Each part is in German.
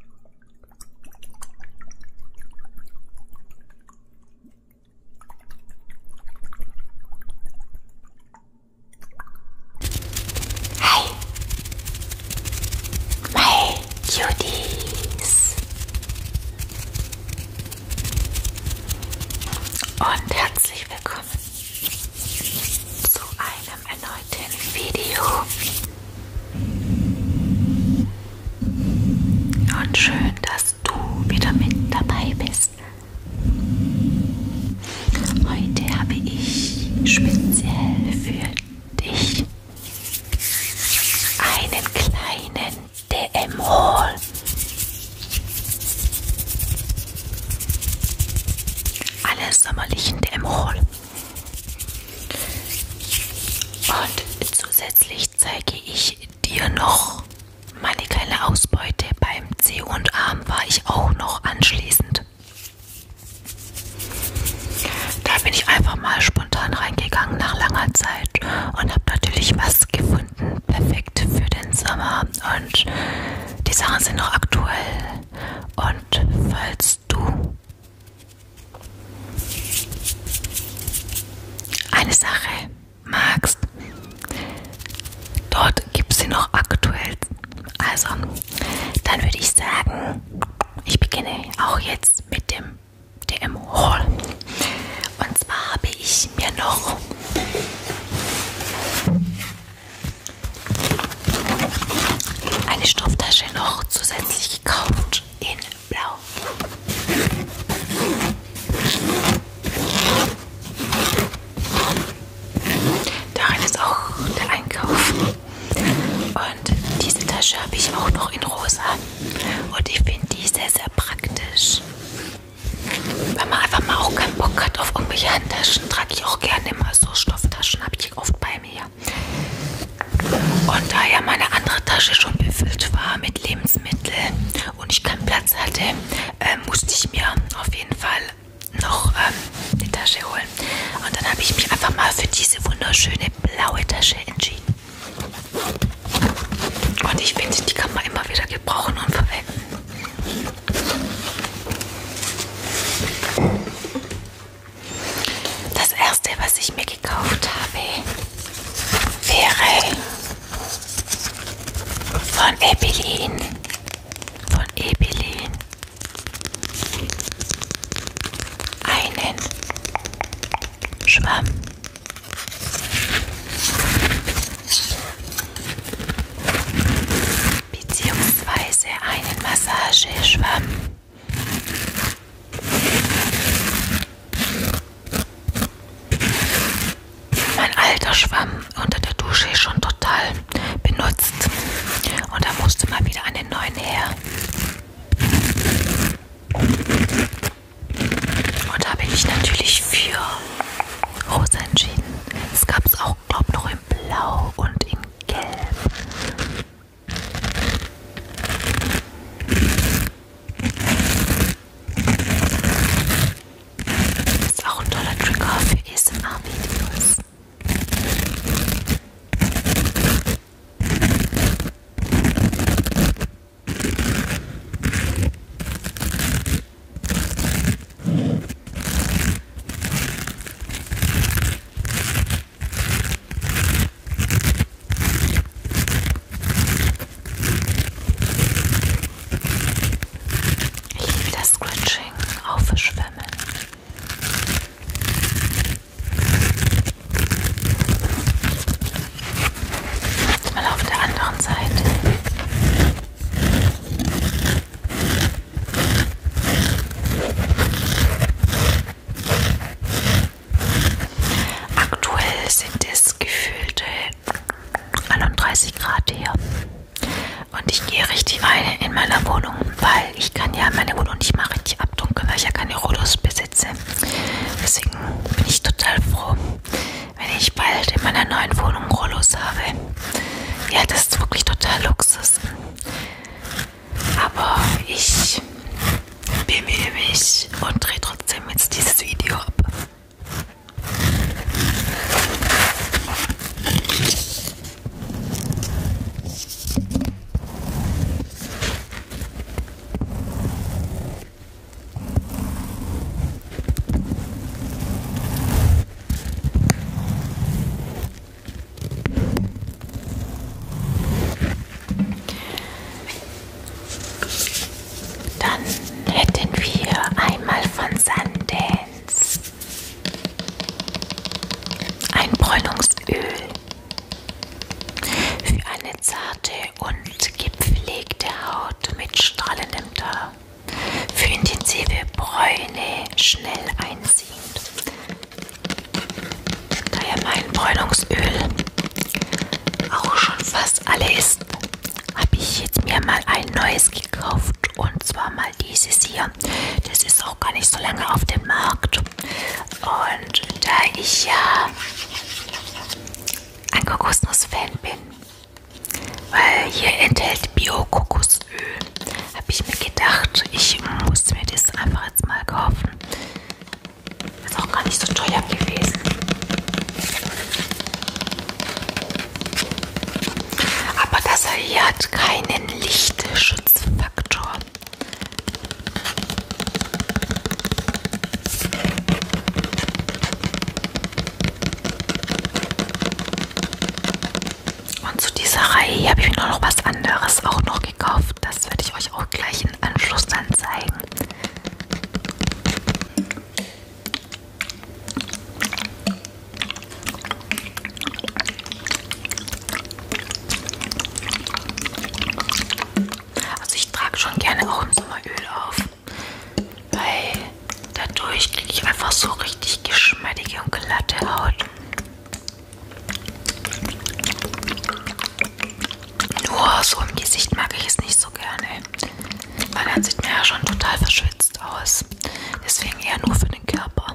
Hi, my Cuties und herzlich willkommen zu einer einem erneuten Video. Und schön, dass du wieder mit dabei bist. Heute habe ich speziell für dich einen kleinen DM-Haul. Alle sommerlichen DM-Haul. Und zusätzlich zeige ich dir noch meine kleine Ausbeute. Beim C und Arm war ich auch noch anschließend. Da bin ich einfach mal spontan reingegangen nach langer Zeit und habe natürlich was gefunden. Perfekt für den Sommer. Und die Sachen sind noch aktuell. Und falls du eine Sache, Max. Dort gibt sie noch aktuell. Also, dann würde ich sagen, ich beginne auch jetzt mit dem DM Haul. Und zwar habe ich mir noch eine Stofftasche noch zusätzlich gekauft in Blau. Darin ist auch der Einkauf. Und diese Tasche habe ich auch noch in Rosa. Und ich finde die sehr, sehr praktisch. Wenn man einfach mal auch keinen Bock hat auf irgendwelche Handtaschen, trage ich auch gerne immer so Stofftaschen, habe ich oft bei mir ja. Und da ja meine andere Tasche schon befüllt war mit Lebensmitteln und ich keinen Platz hatte, äh, musste ich mir auf jeden Fall noch ähm, die Tasche holen. Und dann habe ich mich einfach mal für diese wunderschöne blaue Tasche entschieden. Und ich finde, die kann man immer wieder gebrauchen und verwenden. Das erste, was ich mir gekauft habe, wäre von Ebelin. Von Ebelin. Einen Schwamm. Beziehungsweise einen Massageschwamm. Mein alter Schwamm unter der Dusche ist schon total benutzt und da musste mal wieder einen neuen her. Und da habe ich mich natürlich für Rosa entschieden. Es gab es auch, glaube ich, noch in Blau und in Gelb. Das ist auch ein toller Trigger für ASMR-Videos. Ich liebe das Scratching auf Schwimmen. Jetzt mal auf der anderen Seite. Aktuell sind es gefühlte 31 Grad hier. Und ich gehe richtig rein in meiner Wohnung, weil ich kann ja meine Wohnung nicht mal richtig abdunkeln, weil ich ja keine Rodos besitze. Deswegen bin ich total froh, wenn ich bald in meiner neuen Wohnung Rollos habe. Ja, das ist wirklich total Luxus. Aber ich bemühe mich und drehe trotzdem jetzt dieses Video ab. Dann hätten wir einmal von Sundance ein Bräunungsöl für eine zarte und gepflegte Haut mit strahlendem Teint. Für intensive Bräune schnell einziehend. Daher mein Bräunungsöl auch schon fast alle ist, habe ich jetzt mir mal ein neues gekauft und zwar mal dieses hier. Das ist auch gar nicht so lange auf dem Markt und da ich ja ein Kokosnuss-Fan bin, weil hier enthält Bio-Kokos das Öl. Habe ich mir gedacht, ich hm, muss mir das einfach jetzt mal kaufen. Ist auch gar nicht so teuer gewesen. Aber das hier hat keinen Lichtschutzfaktor. Und zu dieser Reihe hier habe ich mir noch was anderes auch noch gekauft. Das werde ich euch auch gleich im Anschluss dann zeigen. Also ich trage schon gerne auch im Sommer Öl auf, weil dadurch kriege ich einfach so richtig geschmeidige und glatte Haut. Nur so im Gesicht mag ich es nicht so gerne, weil dann sieht man ja schon total verschwitzt aus. Deswegen eher nur für den Körper.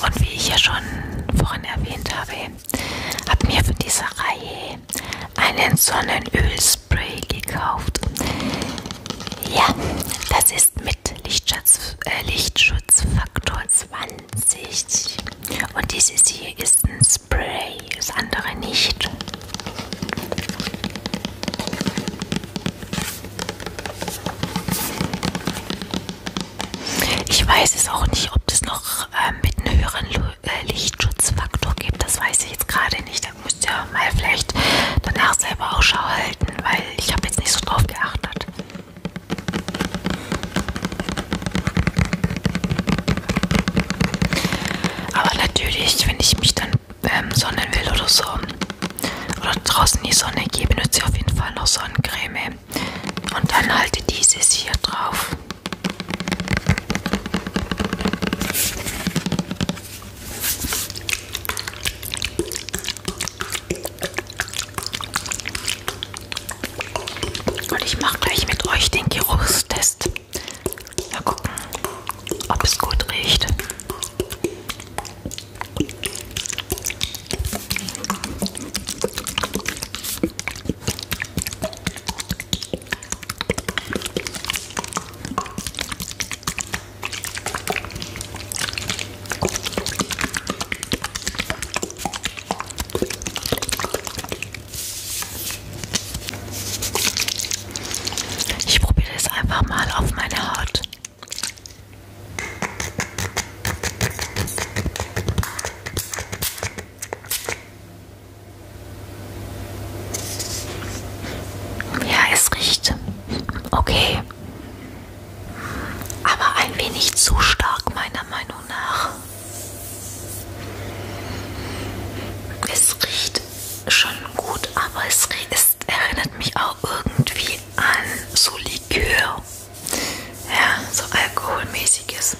Und wie ich ja schon vorhin erwähnt habe, habe mir für diese Reihe einen Sonnenölspray gekauft. Ja, das ist mit Lichtschutz, äh, Lichtschutzfaktor 20. Und dieses hier ist ein Spray, das andere nicht. Ich weiß es auch nicht, ob das noch äh, mit einem höheren äh, Lichtschutzfaktor gibt, das weiß ich jetzt gerade nicht. Da müsst ihr mal vielleicht danach selber Ausschau halten, weil ich habe jetzt nicht so drauf geachtet. Aber natürlich, wenn ich mich dann ähm, sonnen will oder so, oder draußen die Sonne gehe, benutze ich auf jeden Fall noch Sonnencreme. Und dann halte dieses hier drauf. Und ich mache gleich mit euch den Geruchstest. Mal gucken, ob es gut riecht. Ich probiere es einfach mal auf meine Haut. Ja, es riecht okay. Aber ein wenig zu stark meiner Meinung nach. Es riecht schon gut, aber es, es erinnert mich auch irgendwie an so Likör. Ja, so alkoholmäßiges.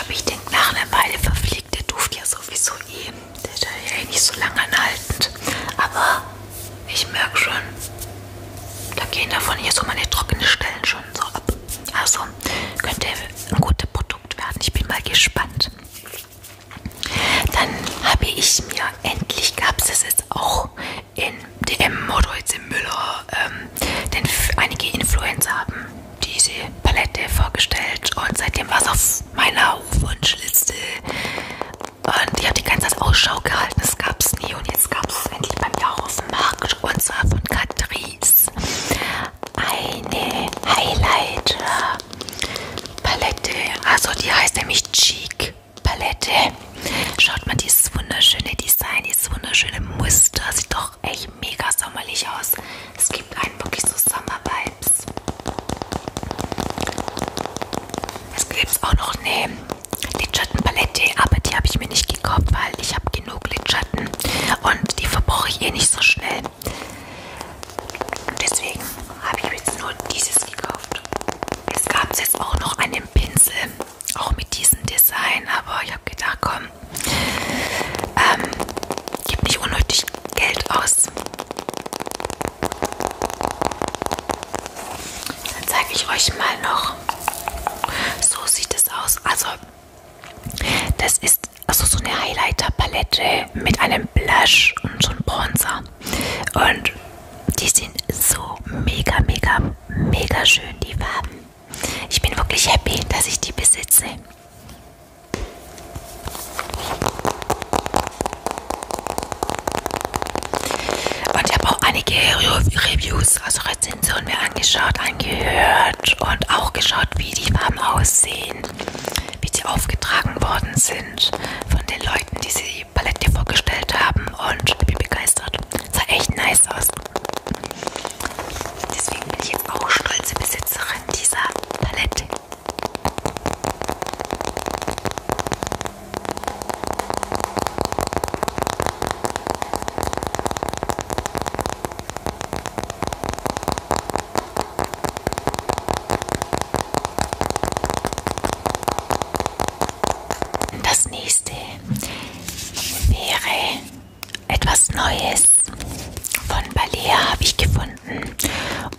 Aber ich denke, nach einer Weile verfliegt der Duft ja sowieso eh. Der ist ja eh nicht so lange anhaltend. Aber ich merke schon, da gehen davon hier so meine trockenen Stellen schon so ab. Also könnte ein gutes Produkt werden. Ich bin mal gespannt. Dann habe ich mir endlich, gab es jetzt auch in DM oder jetzt im Müller, ähm, denn einige Influencer haben diese Palette vorgestellt und seitdem war es auf meiner Wunschliste. Und ich habe die ganze Zeit Ausschau gehalten, es gab es nie und jetzt gab es endlich bei mir auch auf dem Markt und zwar von Catrice eine Highlighter Palette. Also die heißt nämlich Cheek Palette. Schaut mal dieses wunderschöne Design, dieses wunderschöne Muster, sieht doch auch echt mega sommerlich aus. Es gibt einen wirklich so Sommer-Vibes. Es gibt es auch noch eine Lidschattenpalette, aber die habe ich mir nicht gekauft, weil ich habe genug Lidschatten und die verbrauche ich eh nicht so schnell. Deswegen habe ich jetzt nur dieses gekauft. Es gab jetzt auch noch einen Pinsel, auch mit diesem Design, aber ich habe gedacht, komm, haben. Ähm, gib nicht unnötig Geld aus. Dann zeige ich euch mal noch. So sieht es aus. Also, das ist also so eine Highlighter-Palette mit einem Blush und so einem Bronzer. Und die sind so mega, mega, mega schön, die Farben. Ich bin wirklich happy, dass ich die besitze. Und ich habe auch einige Reviews, also Rezensionen mir angeschaut, angehört und auch geschaut, wie die Farben aussehen, wie die aufgetragen worden sind von den Leuten, die sie die Palette vorgestellt haben und ich bin begeistert. Sah echt nice aus. Deswegen bin ich jetzt auch stolze Besitzerin dieser Palette. Das nächste wäre etwas Neues von Balea habe ich gefunden.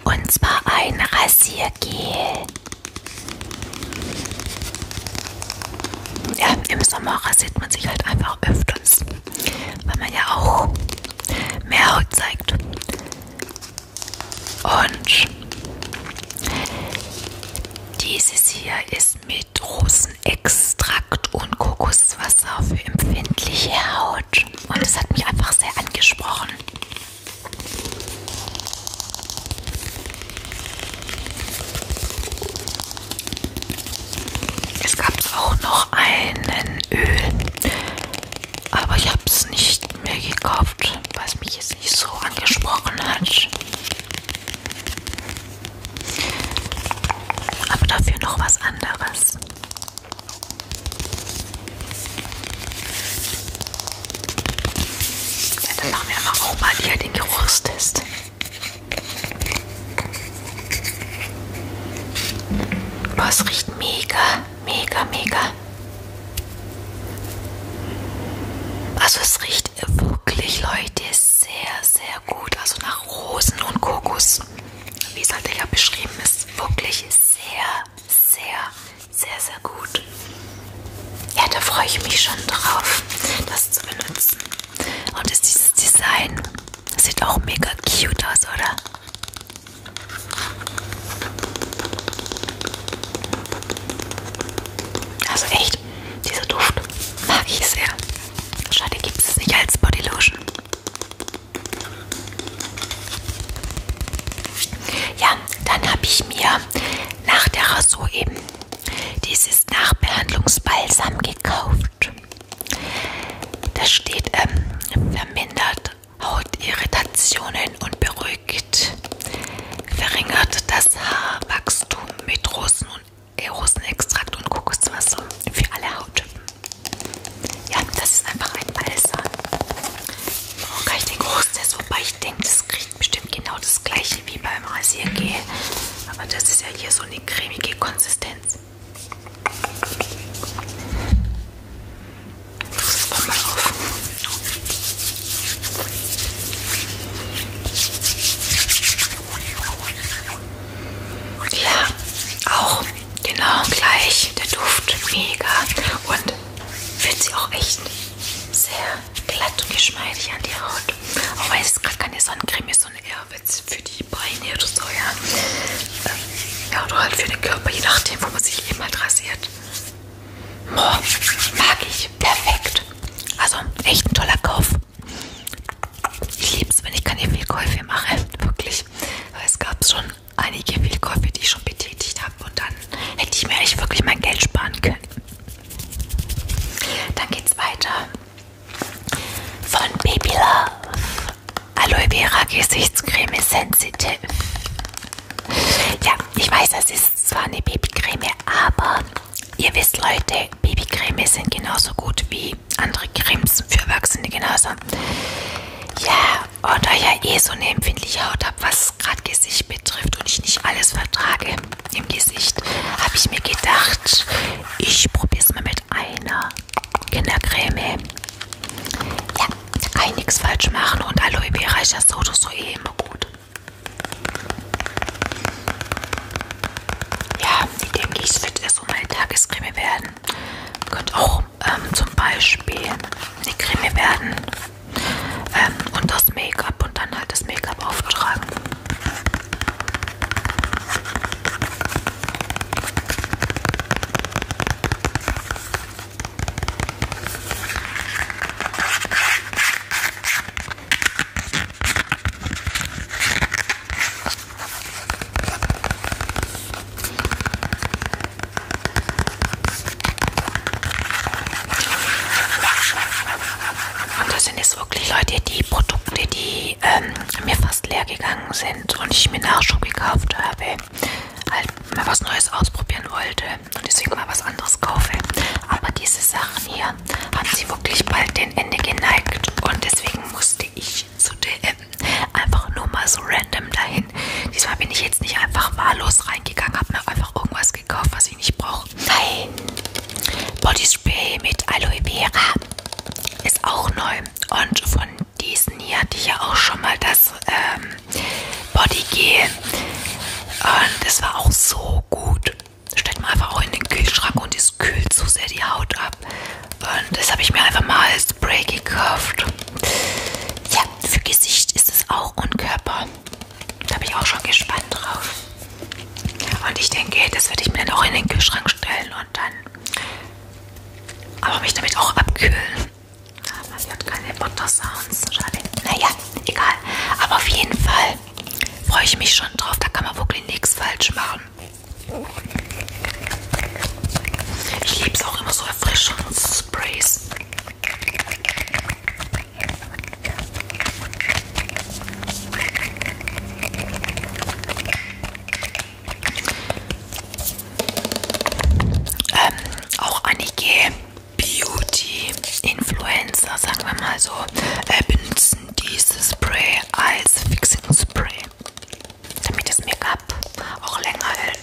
Und zwar ein Rasiergel. Ja, im Sommer rasiert man sich halt einfach öfters, weil man ja auch mehr Haut zeigt. Und dieses hier ist Eis mit Rosenextrakt und Kokoswasser für empfindliche Haut. Und das hat mich einfach sehr angesprochen. Es gab auch noch einen Öl, aber ich habe es nicht mehr gekauft, weil es mich jetzt nicht so angesprochen hat. Aber dafür noch was anderes. Ja, dann machen wir aber auch mal hier den Geruchstest. Boah, es riecht mega, mega, mega. Also es riecht wirklich, Leute, sehr, sehr sehr gut. Also nach Rosen und Kokos, wie es halt ja beschrieben ist, wirklich sehr, sehr, sehr, sehr gut. Ja, da freue ich mich schon drauf, das zu benutzen. Und ist dieses Design sieht auch mega cute aus, oder? Also echt, dieser Duft mag ich sehr. Schade, gibt es nicht als Bodylotion. Ja, dann habe ich mir nach der Rasur eben dieses Nachbehandlungsbalsam gekauft. Da steht ähm, vermindert Hautirritationen und beruhigt, verringert das Haarwachstum mit Rosen- und Rosenextrakt und Kokoswasser für alle Hauttypen. Ja, das ist einfach ein Balsam. Oh, kann ich den Großtest, wobei ich denke, das kriegt bestimmt genau das gleiche wie beim Rasiergel. Aber das ist ja hier so eine cremige Konsistenz. Das kommt mal auf. Ja, auch genau gleich. Der Duft mega und fühlt sich auch echt sehr glatt und geschmeidig an die Haut. Auch weil es gerade keine Sonnencreme ist, sondern eher für die Beine oder so, ja. Ähm, ja, oder halt für den Körper, je nachdem, wo man sich eben halt rasiert. Boah, mag ich. Perfekt. Also echt ein toller Kauf. Ich liebe es, wenn ich keine Fehlkäufe mache, wirklich. Weil es gab schon einige Fehlkäufe, die ich schon betätigt habe und dann hätte ich mir echt wirklich mein Geld sparen können. Dann geht's weiter. Von Baby Love. Aloe Vera Gesichtscreme Sensitive. Ja, ich weiß, das ist zwar eine Babycreme, aber ihr wisst Leute, Babycreme sind genauso gut wie andere Cremes für Erwachsene genauso. Ja, und da ich ja eh so eine empfindliche Haut habe, was gerade Gesicht betrifft und ich nicht alles vertrage im Gesicht, habe ich mir gedacht, ich probiere es mal mit einer Kindercreme. Ja, kann nichts falsch machen und Aloe Vera ist ja so oder so eh immer gut. Ja, die denke ich, wird erst so meine Tagescreme werden. Könnte auch ähm, zum Beispiel eine Creme werden ähm, und das Make-up und dann halt das Make-up auftragen. Und das sind jetzt wirklich Leute, die Produkte, die ähm, mir fast leer gegangen sind und ich mir Nachschub gekauft habe, halt mal was Neues ausprobieren wollte und deswegen mal was anderes kaufe. Aber diese Sachen hier, haben sie wirklich bald den Ende geneigt und deswegen musste ich zu DM einfach nur mal so random dahin. Diesmal bin ich jetzt nicht einfach wahllos reingegangen, habe mir einfach irgendwas gekauft, was ich nicht brauche. Nein, Bodyspray mit Aloe Vera ist auch neu und von diesen hier hatte ich ja auch schon mal das ähm, Bodygel und es war auch so gut. Stellt man einfach auch in den Kühlschrank und es kühlt so sehr die Haut ab. Und das habe ich mir einfach mal als Spray gekauft. Ja, für Gesicht ist es auch und Körper. Da bin ich auch schon gespannt drauf. Und ich denke, das werde ich mir dann auch in den Kühlschrank stellen und dann aber mich damit auch abkühlen. Man hört keine Butter-Sounds. Schade. Naja, egal. Aber auf jeden Fall freue ich mich schon drauf. Da kann man wirklich nichts falsch machen. Ich liebe es auch immer so Erfrischungssprays. Ähm, auch einige Beauty-Influencer, sagen wir mal so, äh, benutzen dieses Spray als Fixing Spray, damit das Make-up auch länger hält.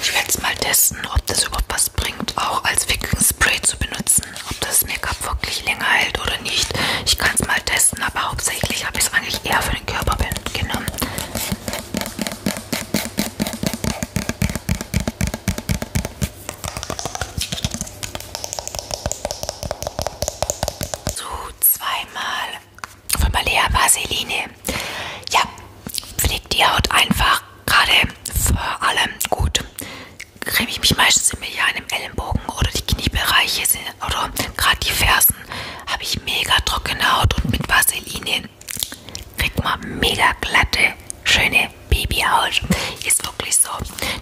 Ich werde es mal testen, ob das überhaupt was bringt, auch als Fixing-Spray zu benutzen, ob das Make-up wirklich länger hält oder nicht. Ich kann es mal testen, aber hauptsächlich habe ich es eigentlich eher für für den Körper genommen. So, zweimal von Balea Vaseline. Ja, pflegt die Haut einfach gerade vor allem gut. Creme ich mich meistens immer hier an dem Ellenbogen oder die Kniebereiche sind, oder gerade die Fersen habe ich mega trockene Haut und mit Vaseline kriegt man mega glatte, schöne Babyhaut. Ist wirklich so.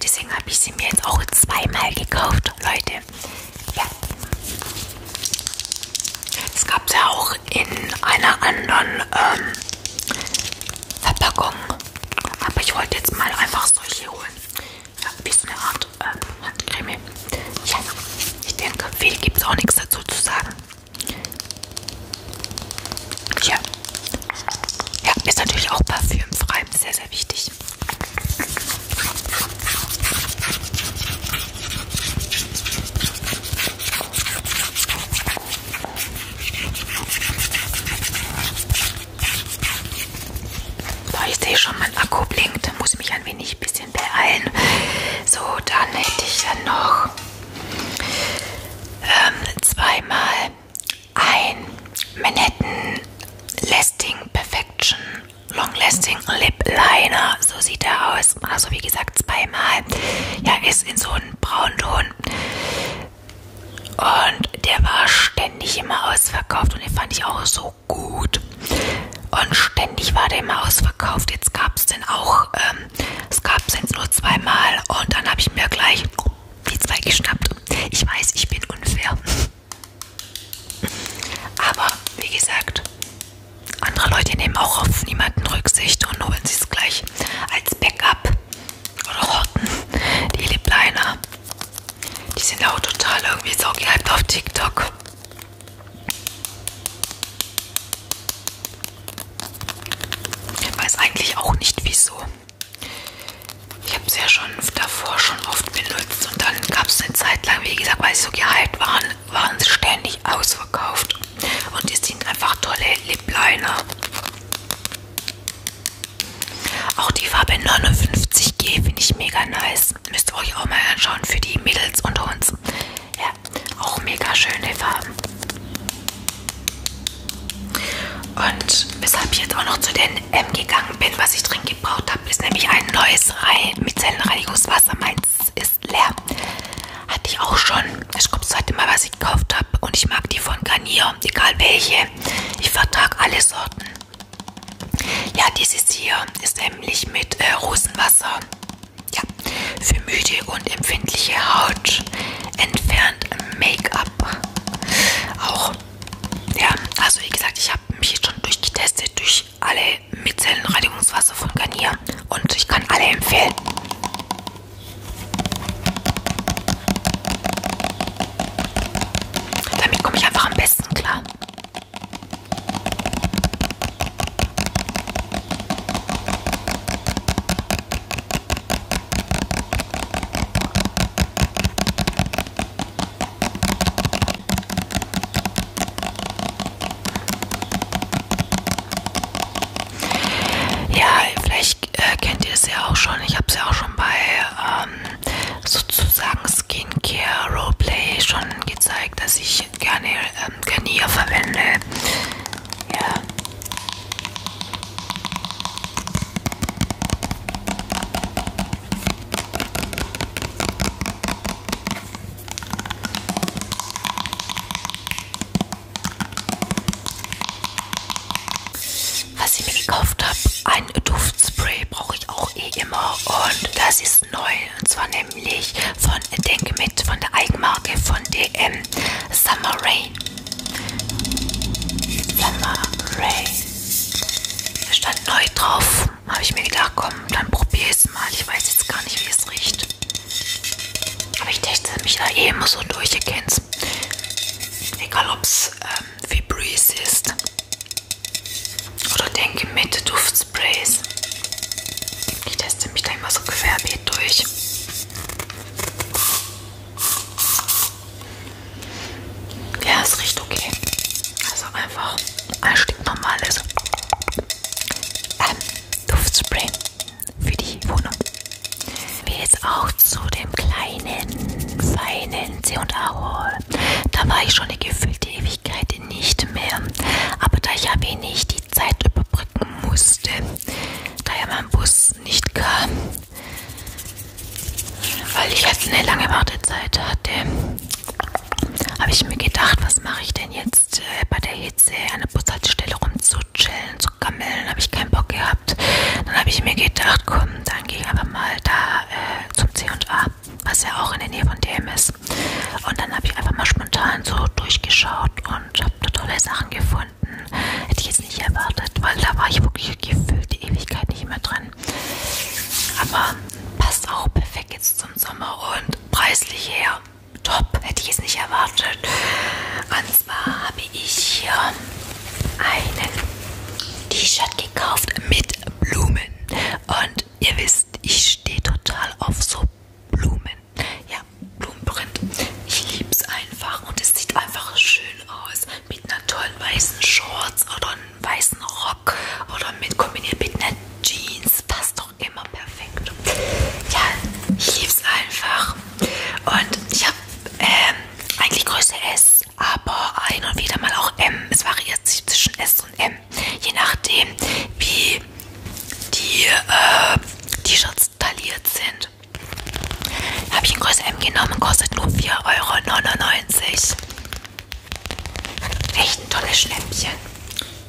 Deswegen habe ich sie mir jetzt auch zweimal gekauft, Leute. Ja. Es gab es ja auch in einer anderen ähm, Verpackung. Aber ich wollte jetzt mal einfach solche holen. Ja, wie so eine Art äh, Handcreme. Ja, ich denke, viel gibt es auch nichts dazu zu sagen. Ja. ja, ist natürlich auch parfümfrei, sehr, sehr wichtig. Da ich sehe schon, mein Akku blinkt, muss ich mich ein wenig mich ein bisschen beeilen. So, dann hätte ich dann noch ähm, zweimal ein Manhattan Lasting Perfection Long Lasting Lip Liner. So sieht er aus. Also wie gesagt, zweimal. Ja, ist in so einem Braunton. Und der war ständig immer ausverkauft und den fand ich auch so so gut. Und ständig war der immer ausverkauft. Jetzt gab es den auch, ähm, es gab es jetzt nur zweimal. Und dann habe ich mir gleich die zwei geschnappt. Ich weiß, ich bin unfair. Aber wie gesagt, andere Leute nehmen auch auf niemanden Rücksicht und holen sie es gleich als Backup oder horten die Lippliner. Die sind auch total irgendwie so gehypt auf TikTok. Ich weiß eigentlich auch nicht wieso. Ich habe es ja schon davor schon oft benutzt und dann gab es eine Zeit lang, wie gesagt, weil sie so gehypt waren, waren sie ständig ausverkauft. Und die sind einfach tolle Lip-Liner. Auch die Farbe 59G finde ich mega nice. Mädels. Müsst ihr euch auch mal anschauen für die Mädels unter uns. Ja, auch mega schöne Farben. Und weshalb ich jetzt auch noch zu den M gegangen bin, was ich dringend gebraucht habe, ist nämlich ein neues Rei Micellenreinigungswasser. Meins ist leer. Hatte ich auch schon. Ich glaube, das zweite Mal, was ich gekauft habe. Und ich mag die von Garnier, egal welche. Ich vertrage alle Sorten. Ja, dieses hier ist nämlich mit äh, Rosenwasser. Ja, für müde und empfindliche Haut entfernt Make-up. Auch, ja, also wie gesagt, ich habe mich jetzt schon durchgetestet durch alle Mitzellenreinigungswasser von Garnier und ich kann alle empfehlen. Damit komme ich einfach am besten klar. Ja, vielleicht äh, kennt ihr es ja auch schon. Ich habe es ja auch schon bei ähm, sozusagen Skincare Roleplay schon gezeigt, dass ich gerne ähm, Garnier verwende. Ja. Was ich mir gekauft habe, ein Duft Duftspray brauche ich auch eh immer und das ist neu und zwar nämlich von Denke mit von der Eigenmarke von DM Summer Rain. Summer Rain. Da stand neu drauf. Habe ich mir gedacht, komm, dann probier es mal. Ich weiß jetzt gar nicht, wie es riecht. Aber ich teste mich da eh immer so durch, ihr kennt's. Egal ob's äh, wie Breeze ist. Oder denke mit Duftsprays. Ich teste mich da immer so querbeet durch. Ja, es riecht okay. Also einfach ein stinknormales ähm, Duftspray für die Wohnung. Wie jetzt auch zu dem kleinen, feinen C&A Hall da war ich schon eine gefühlte Ewigkeit nicht mehr. Aber da ich ja wenig die Zeit überbrücken musste, da ja mein Bus nicht kam, weil ich jetzt halt eine lange Wartezeit hatte, habe ich mir gedacht, was mache ich denn jetzt äh, bei der Hitze an der Bushaltestelle rumzuchillen, zu gammeln, habe ich keinen Bock gehabt. Dann habe ich mir gedacht, komm, dann gehe ich einfach mal da äh, zum C&A was ja auch in der Nähe von DM ist. Und dann habe ich einfach mal spontan so durchgeschaut und habe da tolle Sachen gefunden. Hätte ich jetzt nicht erwartet, weil da war ich wirklich gefühlt die Ewigkeit nicht mehr drin. Aber passt auch perfekt jetzt zum Sommer und preislich her. Top, hätte ich es nicht erwartet. Und zwar habe ich hier einen T-Shirt gekauft mit Blumen. Und ihr wisst, ich stehe total auf so Blumen. Ja, Blumenprint. Ich liebe es einfach und es sieht einfach schön aus. Mit einer tollen weißen Shorts oder einem weißen Rock oder mit kombiniert mit einer Jeans. Passt doch immer perfekt. Ja, ich liebe es einfach. Und ich habe ähm, eigentlich Größe S. S, aber ein und wieder mal auch M. Es variiert sich zwischen S und M, je nachdem, wie die äh, T-Shirts tailliert sind. Habe ich in Größe M genommen, kostet nur 4,99 Euro. Echt ein tolles Schnäppchen.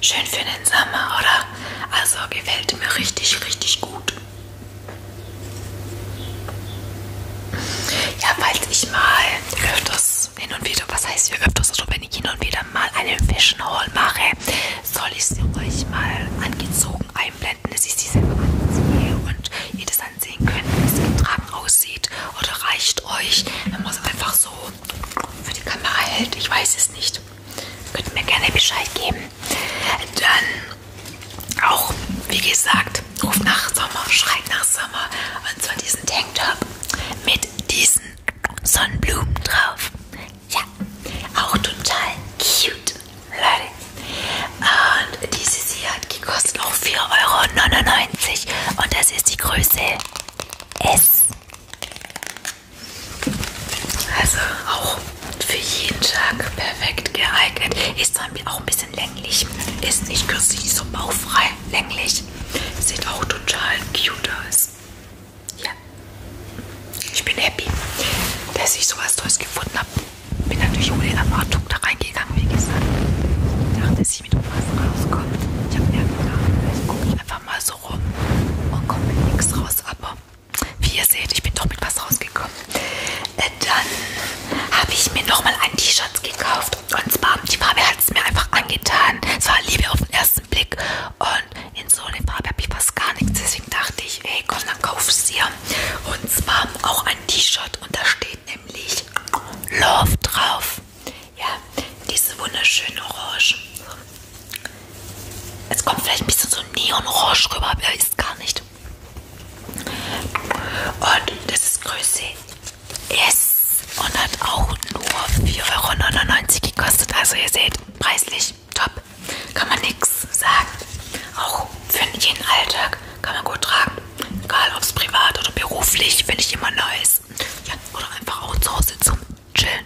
Schön für den Sommer, oder? Also gefällt mir richtig, richtig gut. Ja, falls ich mal öfters hin und wieder, was heißt hier öfters, also wenn ich hin und wieder mal einen Fashion Haul mache, soll ich sie euch mal angezogen einblenden, dass ich sie selber anziehe und ihr das ansehen könnt, wie es getragen aussieht oder reicht euch, wenn man es einfach so für die Kamera hält, ich weiß es nicht. Könnt ihr mir gerne Bescheid geben. Dann auch, wie gesagt, ruft nach Sommer, schreit nach Sommer. Und zwar diesen Tanktop mit diesen Sonnenblumen drauf. Ja, auch total cute, Leute. Und dieses hier hat gekostet auch 4,99 Euro. Und das ist die Größe S. Also auch für jeden Tag perfekt geeignet. Ist dann auch ein bisschen länglich. Ist nicht kürzlich, so baufrei länglich. Sieht auch total cute aus. Ja. Ich bin happy, dass ich sowas Tolles gefunden habe. Bin natürlich ohne Erwartung da reingegangen, wie gesagt. Ich dachte, dass ich mit was rauskomme. Ich habe mir gedacht, vielleicht gucke ich einfach mal so rum und oh, komme mit nichts raus. Aber wie ihr seht, ich bin doch mit was rausgekommen. Äh, dann habe ich mir nochmal ein T-Shirt gekauft gekauft und zwar die Farbe hat es mir einfach angetan. Es war Liebe auf den ersten Blick und in so einer Farbe habe ich fast gar nichts. Deswegen dachte ich, hey komm, dann kauf es dir. Und zwar auch ein T-Shirt und da steht nämlich Love drauf. Ja, diese wunderschöne Orange. Es kommt vielleicht ein bisschen so Neon-Orange rüber, aber ist gar nicht. Und das ist Größe Yes. Und hat auch nur 4,99 Euro gekostet. Also ihr seht, preislich top. Kann man nichts sagen. Auch für jeden Alltag kann man gut tragen. Egal ob es privat oder beruflich, finde ich immer nice. Ja, oder einfach auch zu Hause zum Chillen.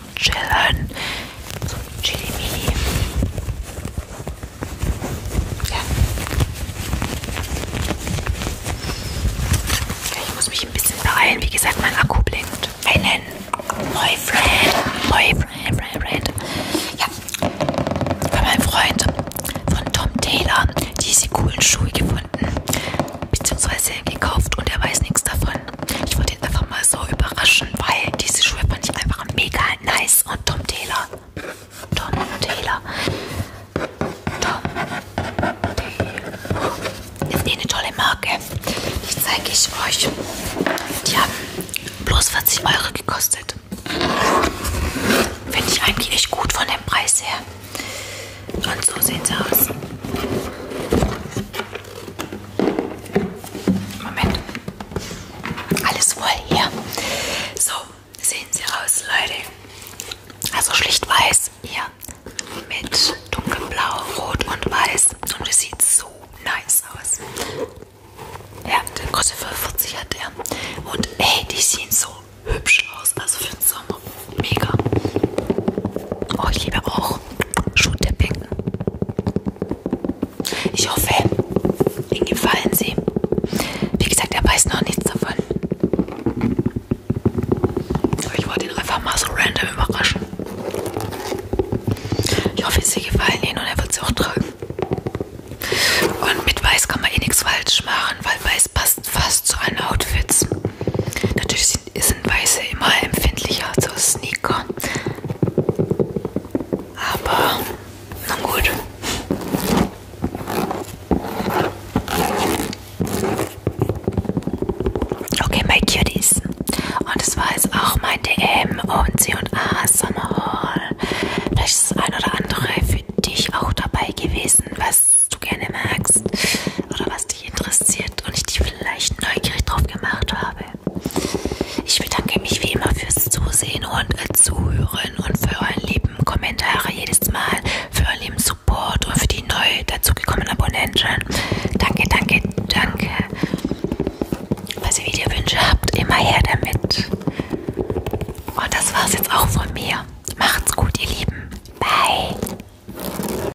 zum Chillen. Zum Chili Mini. Ja. Ich muss mich ein bisschen beeilen. Wie gesagt, mein Akku blinkt. Einen Boyfriend. Boyfriend, Boyfriend. Ja. Bei meinem Freund von Tom Taylor diese coolen Schuhe gefunden. Beziehungsweise gekauft und er weiß nichts davon. Ich wollte jetzt einfach mal so überraschen, weil diese Schuhe fand ich einfach mega nice. Und Tom Taylor. Tom Taylor. Tom Taylor. Ist eh eine tolle Marke. Die zeige ich euch. Die haben bloß 40 Euro gekostet. Finde ich eigentlich echt gut von dem Preis her. Und so sehen sie aus. Moment. Alles voll hier. So, sehen Sie aus, Leute. Also schlicht weiß hier mit dunkelblau, rot und weiß. Und es sieht so nice aus. Ja, der kostet 45 hat der. Und ey, die sehen so hübsch aus. Also für den Sommer. Mega. Oh, ich liebe auch auch Schuhtipping. Ich hoffe, Ihnen gefallen sie. Wie gesagt, er weiß noch nichts davon. Aber ich wollte ihn einfach mal so random überraschen. Ich hoffe, sie gefallen Ihnen und er wird sie auch tragen. Und mit Weiß kann man eh nichts falsch machen, weil Weiß passt fast zu allen Outfits. Natürlich sind, sind Weiße immer empfindlicher als so Sneaker. Aber, na gut. Okay, my cuties. Und es war jetzt auch mein DM und C&A Summer Hall. Vielleicht ist das ein oder andere für dich auch dabei gewesen, was du gerne magst oder was dich interessiert und ich dich vielleicht neugierig drauf gemacht habe. Ich bedanke mich wie immer fürs Zusehen und äh, Zuhören und für euren lieben Kommentare jedes Mal, für euren lieben Support und für die neu dazugekommenen Abonnenten. Danke, danke, danke. Falls ihr Videowünsche habt, immer her damit. Und das war's jetzt auch von mir. Macht's gut, ihr Lieben. Bye.